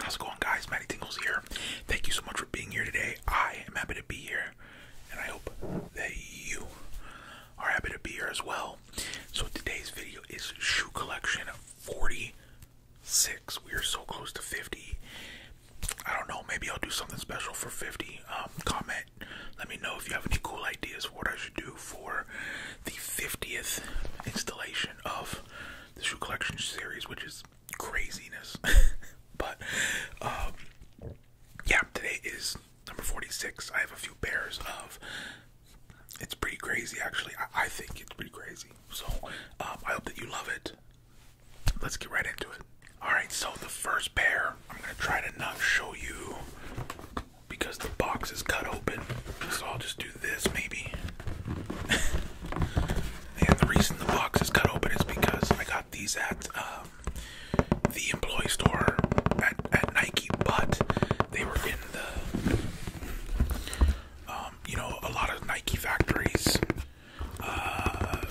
How's it going, guys? Matty Tingles here. Thank you so much for being here today. I am happy to be here, and I hope that you are happy to be here as well. So, today's video is shoe collection 46. We are so close to 50. I don't know, maybe I'll do something special for 50. Um, comment, let me know if you have any cool ideas for what I should do for the 50th installation of the shoe collection series, which is craziness. but um, yeah, today is number 46. I have a few pairs of. It's pretty crazy, actually. I, think it's pretty crazy. So um, I hope that you love it. Let's get right into it. All right, so the first pair, I'm gonna try to not show you because the box is cut open. So I'll just do this, maybe. and the reason the box is cut open is because I got these at um, the employee store at, at Nike, but they were in the, um, you know, a lot of Nike factories uh,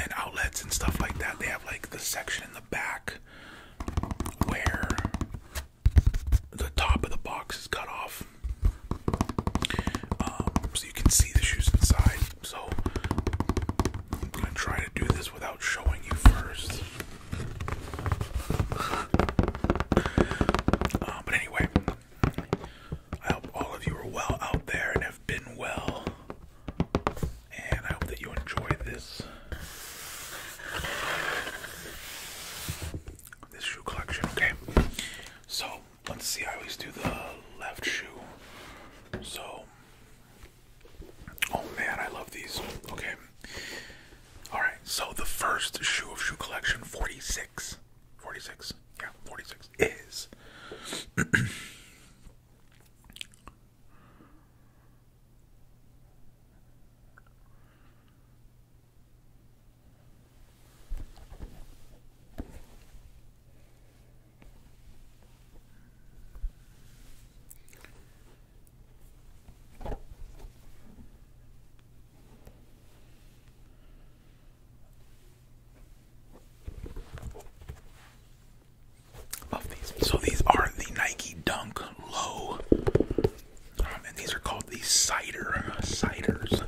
and outlets and stuff like that. They have like the section in the back where the top of the box is cut off, um, so you can see the shoes inside. So I'm gonna try to do this without showing you first. Uh, but anyway, I hope all of you are well out there and have been well, and I hope that you enjoyed this this shoe collection, okay? So, let's see. I always do the left shoe. So, oh man, I love these. Okay. Alright, so the first shoe of shoe collection 46. Yeah, 46 is. So these are the Nike Dunk Low um, and these are called the cider ciders.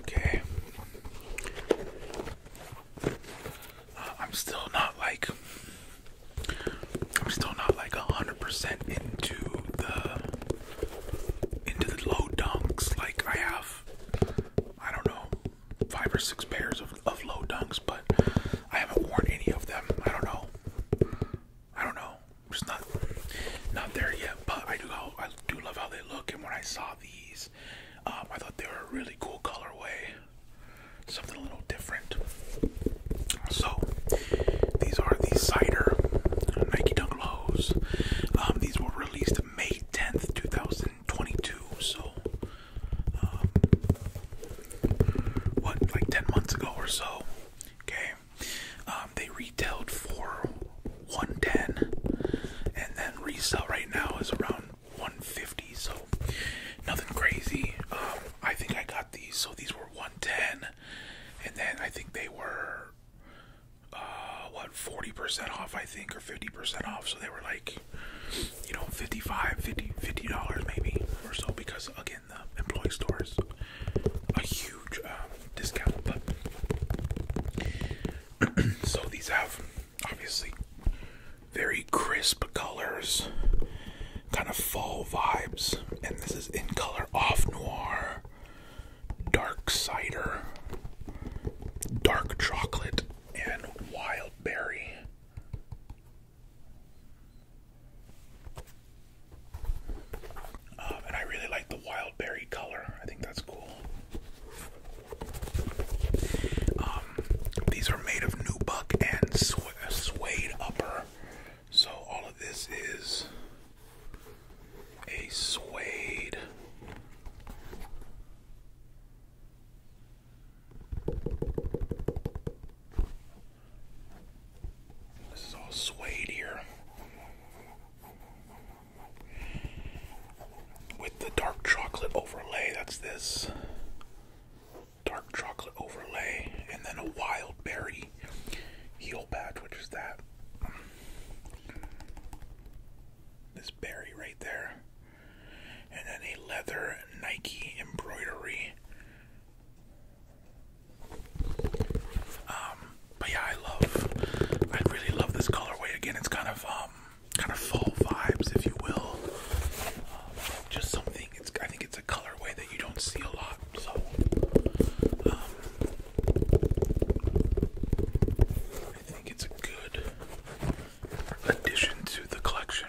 Okay. Uh, I'm still not like I'm still not like a hundred percent into the into the low dunks. Like I have I don't know five or six pairs of, of low dunks, but I haven't worn any of them. I don't know. I don't know just not not there yet. But I do how I do love how they look, and when I saw these, um, I thought they were a really cool colorway, something a little different. So these are the cider Nike Dunk Lows. Um, these were released May 10th, 2022. So. Um, what like 10 months ago or so okay um, they retailed for 110 and then resale right now is around 150 so nothing crazy. Um, I think I got these so these were 110 and then I think they were uh, what 40% off I think or 50% off so they were like you know 55 50 50 dollars maybe or so because again employee stores a huge um, discount. so these have obviously very crisp colors, kind of fall vibes, and this is in color off noir, dark cider, dark chocolate, and wild berry. Um, and I really like the wild berry color. I think that's cool. Um, these are made of nubuck and su suede upper. So all of this is a suede. This is all suede here. With the dark chocolate overlay, that's this. Dark chocolate overlay, and then a wild berry heel patch, which is that. This berry right there. And then a leather Nike embroidery um, but yeah, I love, I really love this colorway. Again, it's kind of, um, kind of fall vibes, if you will. Um, just something. It's, I think it's a colorway that you don't see a lot. So, I think it's a good addition to the collection.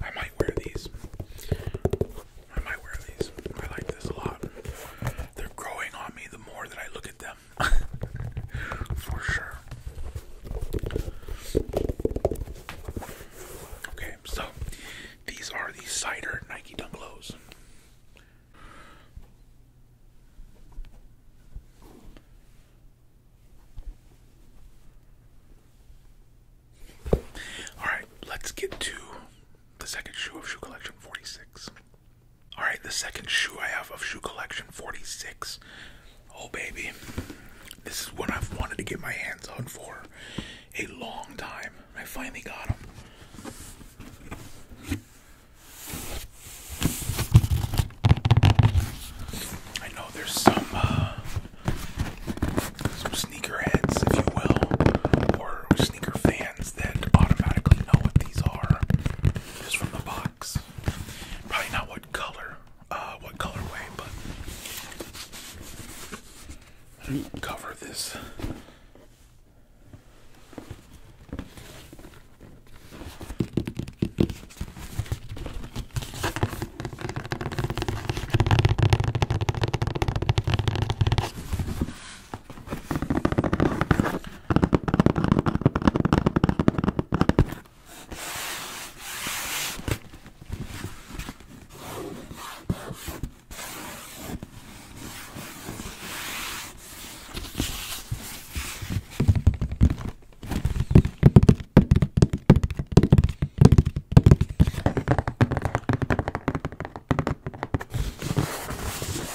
I might wear these. I might wear these. I like this a lot. They're growing on me the more that I look at them. For sure. Okay, so these are the cider Nike Dunk Lows. Alright, let's get to the second shoe of Shoe Collection 46. Alright, the second shoe I have of Shoe Collection 46. Oh, baby. This is what I've wanted to get my hands on for a long time. I finally got him. I know there's some uh, some sneakerheads, if you will, or sneaker fans that automatically know what these are just from the box. Probably not what color, uh, what colorway, but I didn't cover this.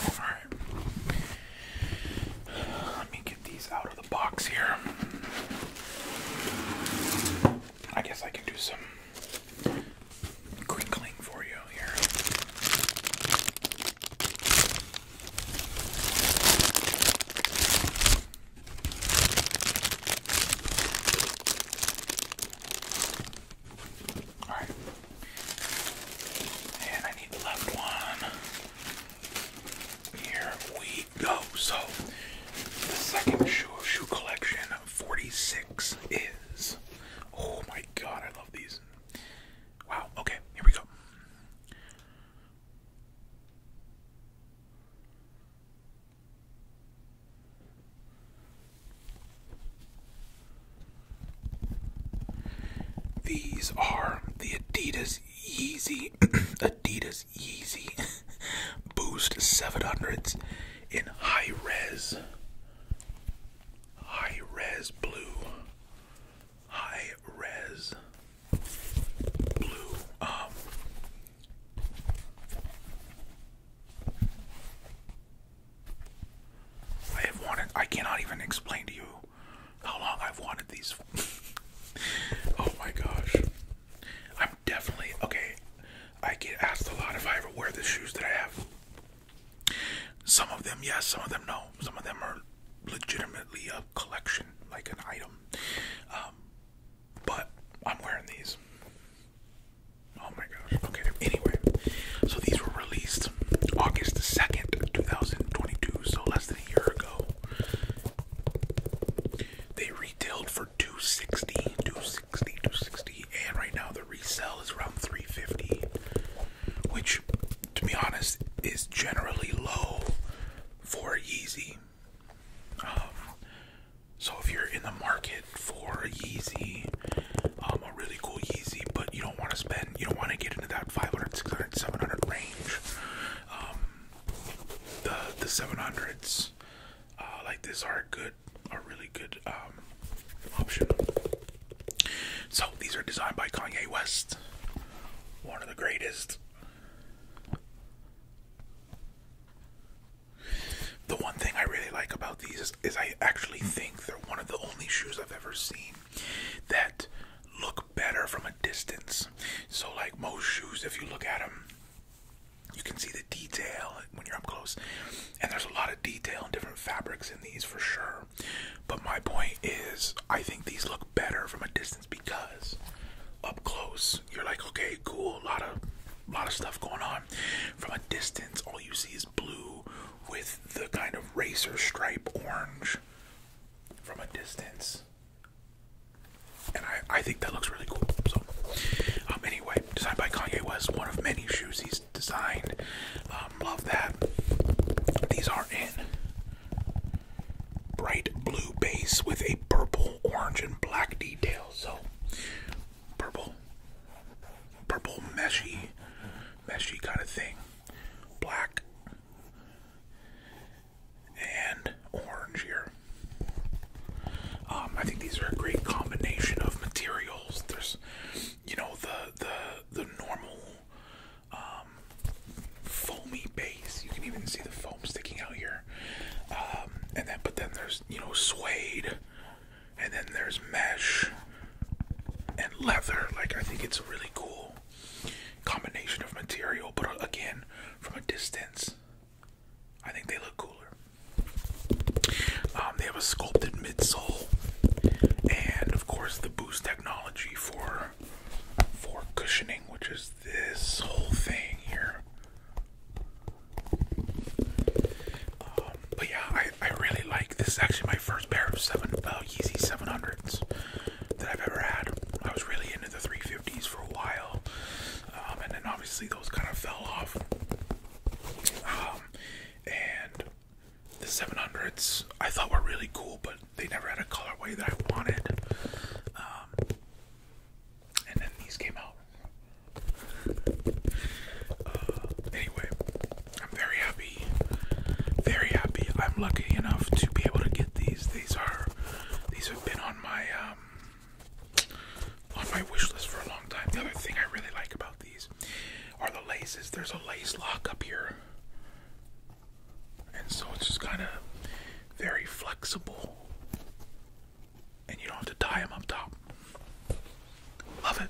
Alright. Let me get these out of the box here. I guess I can do some crinkling for you here. All right. And I need the left one. Here we go. So, the second shoe shoe collection 46 is. Oh my god, I love these. Wow, okay, here we go. These are the Adidas Yeezy Adidas Yeezy Boost 700s in high res. High res blue. High res blue. Um I have wanted I cannot even explain to you how long I've wanted these. oh my gosh. I'm definitely okay. I get asked a lot if I ever wear the shoes that I have. Some of them, yes, some of them, no. Some of them are legitimately a collection, like an item. Um, but I'm wearing these. Oh my gosh. Okay, anyway. So these were released August 2nd, 2022, so less than a year ago. They retailed for 260, 260 260, and right now the resell is around 350, which, to be honest, is generally low for Yeezy. Um, so if you're in the market for a Yeezy, um, a really cool Yeezy, but you don't want to spend, you don't want to get into that 500, 600, 700 range, um, the the 700s uh, like these are a good, a really good um, option. So these are designed by Kanye West, one of the greatest. The one thing I really like about these is I actually think they're one of the only shoes I've ever seen that look better from a distance. So, like most shoes, if you look at them you can see the detail when you're up close. And there's a lot of detail and different fabrics in these for sure. But my point is, I think these look better from a distance because up close, you're like, okay, cool, a lot of, lot of stuff going on. From a distance, all you see is blue with the kind of racer stripe orange. From a distance, and I, I think that looks really cool. So, um, anyway, designed by Kanye West, one of many shoes he's designed. Um, love that. These are in bright blue base with a purple, orange, and black detail. So, purple, purple meshy, meshy kind of thing. Black, and orange here. Um, I think these are a great combination of materials. There's, you know, the the the normal um, foamy base. You can even see the foam sticking out here. Um, and then, but then there's you know suede, and then there's mesh and leather. Like I think it's a really cool combination of material. But uh, again, from a distance, I think they look cooler. Um, they have a sculpted midsole, and of course the Boost technology for for cushioning, which is this whole thing here. Um, but yeah, I, I really like this. Is actually, my first pair of seven uh, Yeezy 700s that I've ever had. I was really into the 350s for a while, um, and then obviously those kind of fell off. Um, and the 700s I thought were really cool, but they never had a colorway that I wanted. Um, and then these came out. Uh, anyway, I'm very happy. Very happy. I'm lucky enough to be able to get these. These are these have been on my um on my wish list for a long time. The other thing I really like about these are the laces. There's a lace lock up here, and so it's just kind of very flexible, and you don't have to tie them up top. Love it.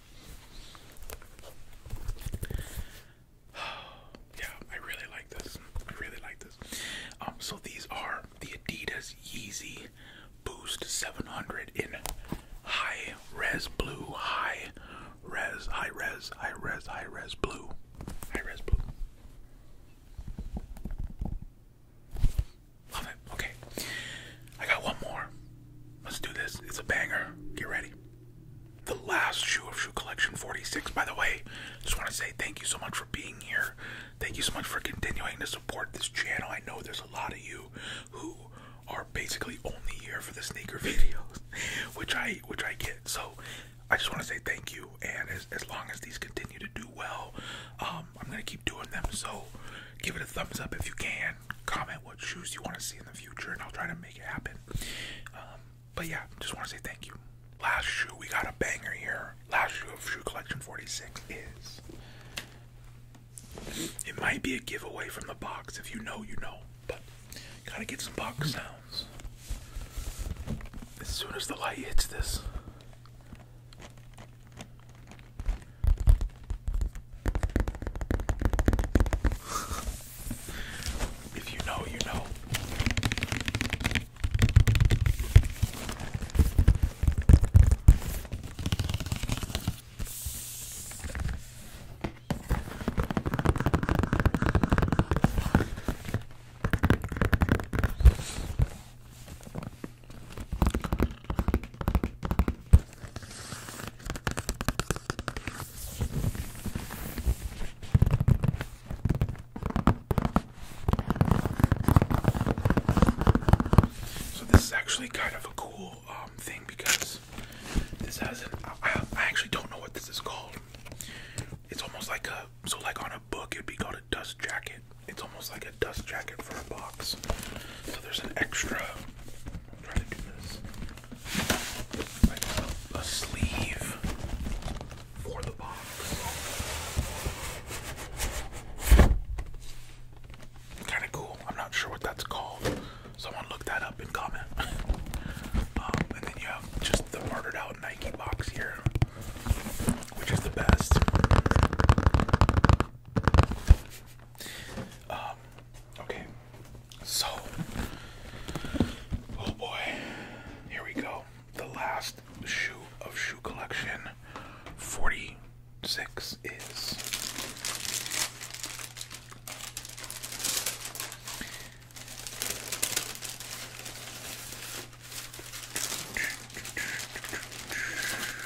yeah, I really like this. I really like this. Um, so these are the Adidas Yeezy Boost 700 in high res blue, high res, high res, high res, high res blue, high res blue. Love it. Okay, I got one more. Let's do this. It's a banger. Get ready. The last shoe of Shoe Collection 46. By the way, just want to say thank you so much for being here. Thank you so much for continuing to support this channel. I know there's a lot of you who are basically only here for the sneaker videos, which I which I get. So I just want to say thank you. And as, as long as these continue to do well, um, I'm gonna keep doing them. So give it a thumbs up if you can comment what shoes you want to see in the future, and I'll try to make it happen. Um, but yeah, just want to say thank you. Last shoe, we got a banger here. Last shoe of Shoe Collection 46 is. It might be a giveaway from the box. If you know, you know. But gotta get some box sounds. As soon as the light hits this, if you know, you know. So this is actually kind of a cool um, thing because this has an. I, I actually don't know what this is called. It's almost like a. So like on a book, it'd be called a dust jacket. It's almost like a dust jacket for a box. So there's an extra I'll try to do this. Like a, sleeve for the box. Kind of cool. I'm not sure what that's called. Someone look that up and comment. Um, and then you have just the parted out Nike box here, which is the best. Um, okay, so, oh boy, here we go. The last shoe of shoe collection 46 is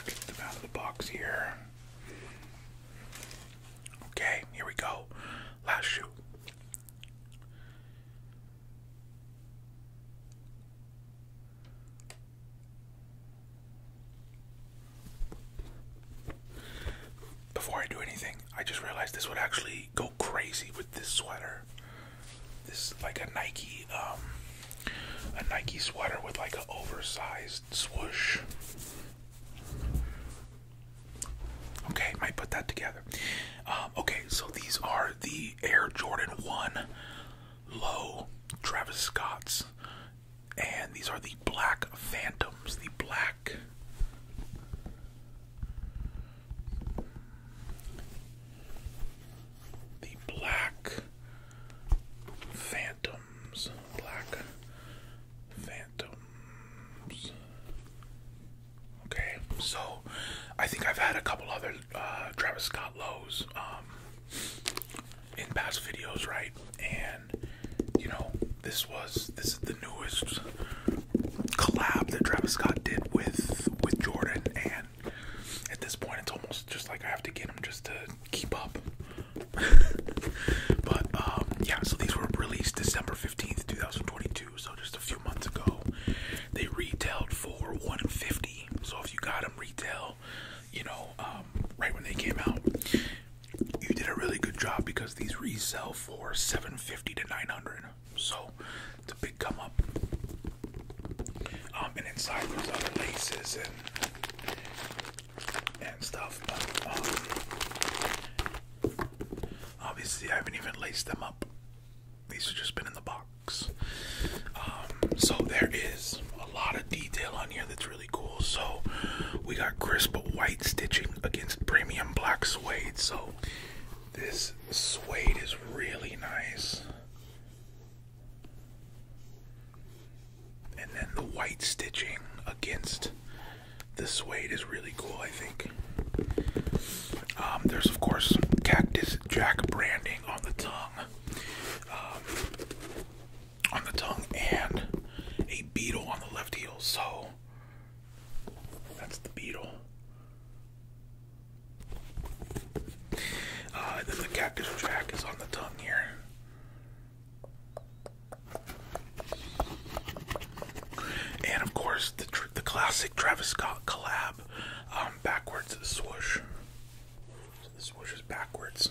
get them out of the box here. Okay, here we go. Last shoot. Before I do anything, I just realized this would actually go crazy with this sweater. This is like a Nike um, a Nike sweater with like an oversized swoosh. Okay, might put that together. Um, okay, so these are the Air Jordan 1 Low Travis Scott's. And these are the Black Phantoms. The Black. The Black Phantoms black phantoms. Okay, so I think I've had a couple other uh, Travis Scott lows um, in past videos, right? And you know, this was this is the newest collab that Travis Scott did with with Jordan, and at this point, it's almost just like I have to get him just to keep up. but um, yeah, so these were released December 15th, 2022, so just a few months ago. They retailed for 150. So if you got them retail, you know, um, right when they came out, you did a really good job because these resell for 750 to 900. So it's a big come up. Um, and inside there's other laces and and stuff, but um, obviously I haven't even laced them up. These have just been in the box. Um, so there is a lot of detail on here that's really cool. So we got crisp white stitching against premium black suede. So this suede is really nice. And then the white stitching against the suede is really cool, I think. Um, there's, of course, Cactus Jack branding on the tongue. Um, on the tongue and a beetle on the left heel. So that's the beetle. Uh, and then the Cactus Jack is on the tongue here. And of course, the the classic Travis Scott collab, um, backwards swoosh. the swoosh is backwards,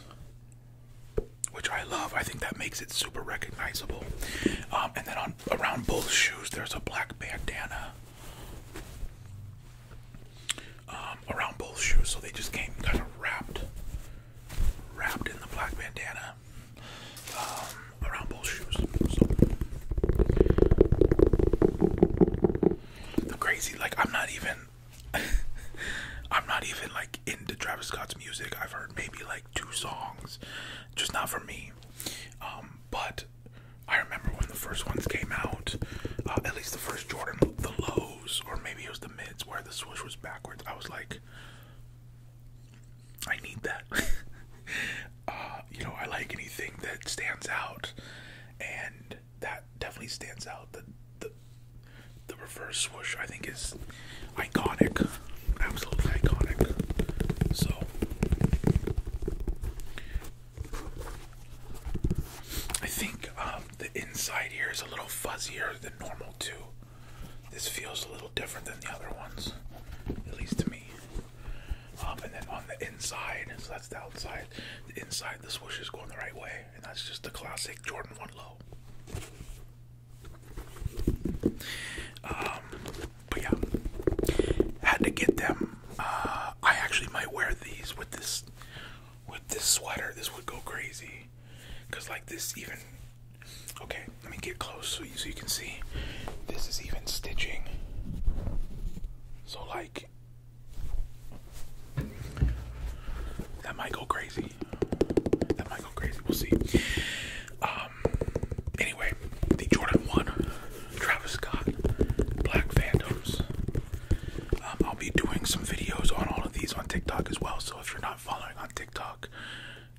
which I love. I think that makes it super recognizable. Um, and then on around both shoes, there's a black bandana. Um, around both shoes, so they just came kind of wrapped, wrapped in the black bandana um, around both shoes. So crazy, like I'm not even, I'm not even like into Travis Scott's music. I've heard maybe like two songs, just not for me. Um, but I remember when the first ones came out, uh, at least the first Jordan, the low or maybe it was the mids where the swoosh was backwards. I was like, I need that. Uh, you know, I like anything that stands out, and that definitely stands out. The the the reverse swoosh I think is iconic, absolutely iconic. So. I think um, the inside here is a little fuzzier than normal too. This feels a little different than the other ones, at least to me. Um, and then on the inside, so that's the outside. The inside, the swoosh is going the right way, and that's just the classic Jordan One Low. Um, but yeah, had to get them. Uh, I actually might wear these with this with this sweater, this would go crazy. Cause like this even, okay, let me get close so you, so you can see. This is even stitching. So like, that might go crazy. That might go crazy, we'll see. Um, anyway, the Jordan 1, Travis Scott, Black Phantoms. Um, I'll be doing some videos on all of these on TikTok as well. So if you're not following on TikTok,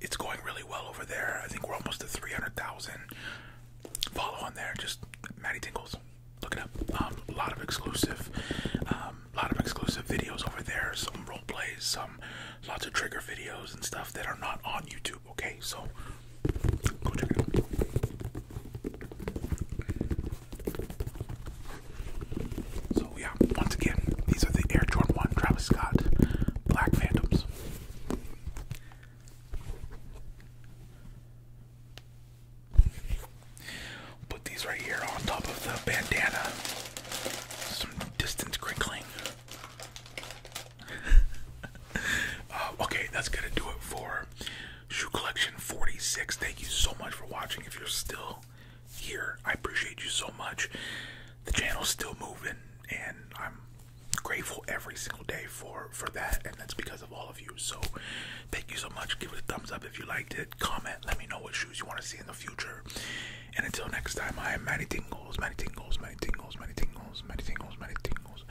it's going really well over there. I think we're almost at 300,000. Follow on there. Just Maddie Tingles. Look it up. Um, a lot of exclusive, um, a lot of exclusive videos over there. Some role plays, some lots of trigger videos and stuff that are not on YouTube. Okay, so go check it so yeah, once again, these are the Air Jordan 1 Travis Scott Black Phantoms. Put these right here on top of the bandana. Some distance crinkling. Uh, okay, that's gonna do it for Shoe Collection 46. Thank you so much for watching. If you're still here, I appreciate you so much. The channel's still moving, and I'm grateful every single day for for that, and that's because of all of you. So thank you so much. Give it a thumbs up if you liked it. Comment. Let me know what shoes you want to see in the future. And until next time, I am Matty Tingles, Matty Tingles, Matty Tingles, Matty Tingles, Matty Tingles, Matty Tingles.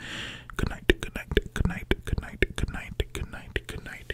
Good night, good night, good night, good night, good night, good night, good night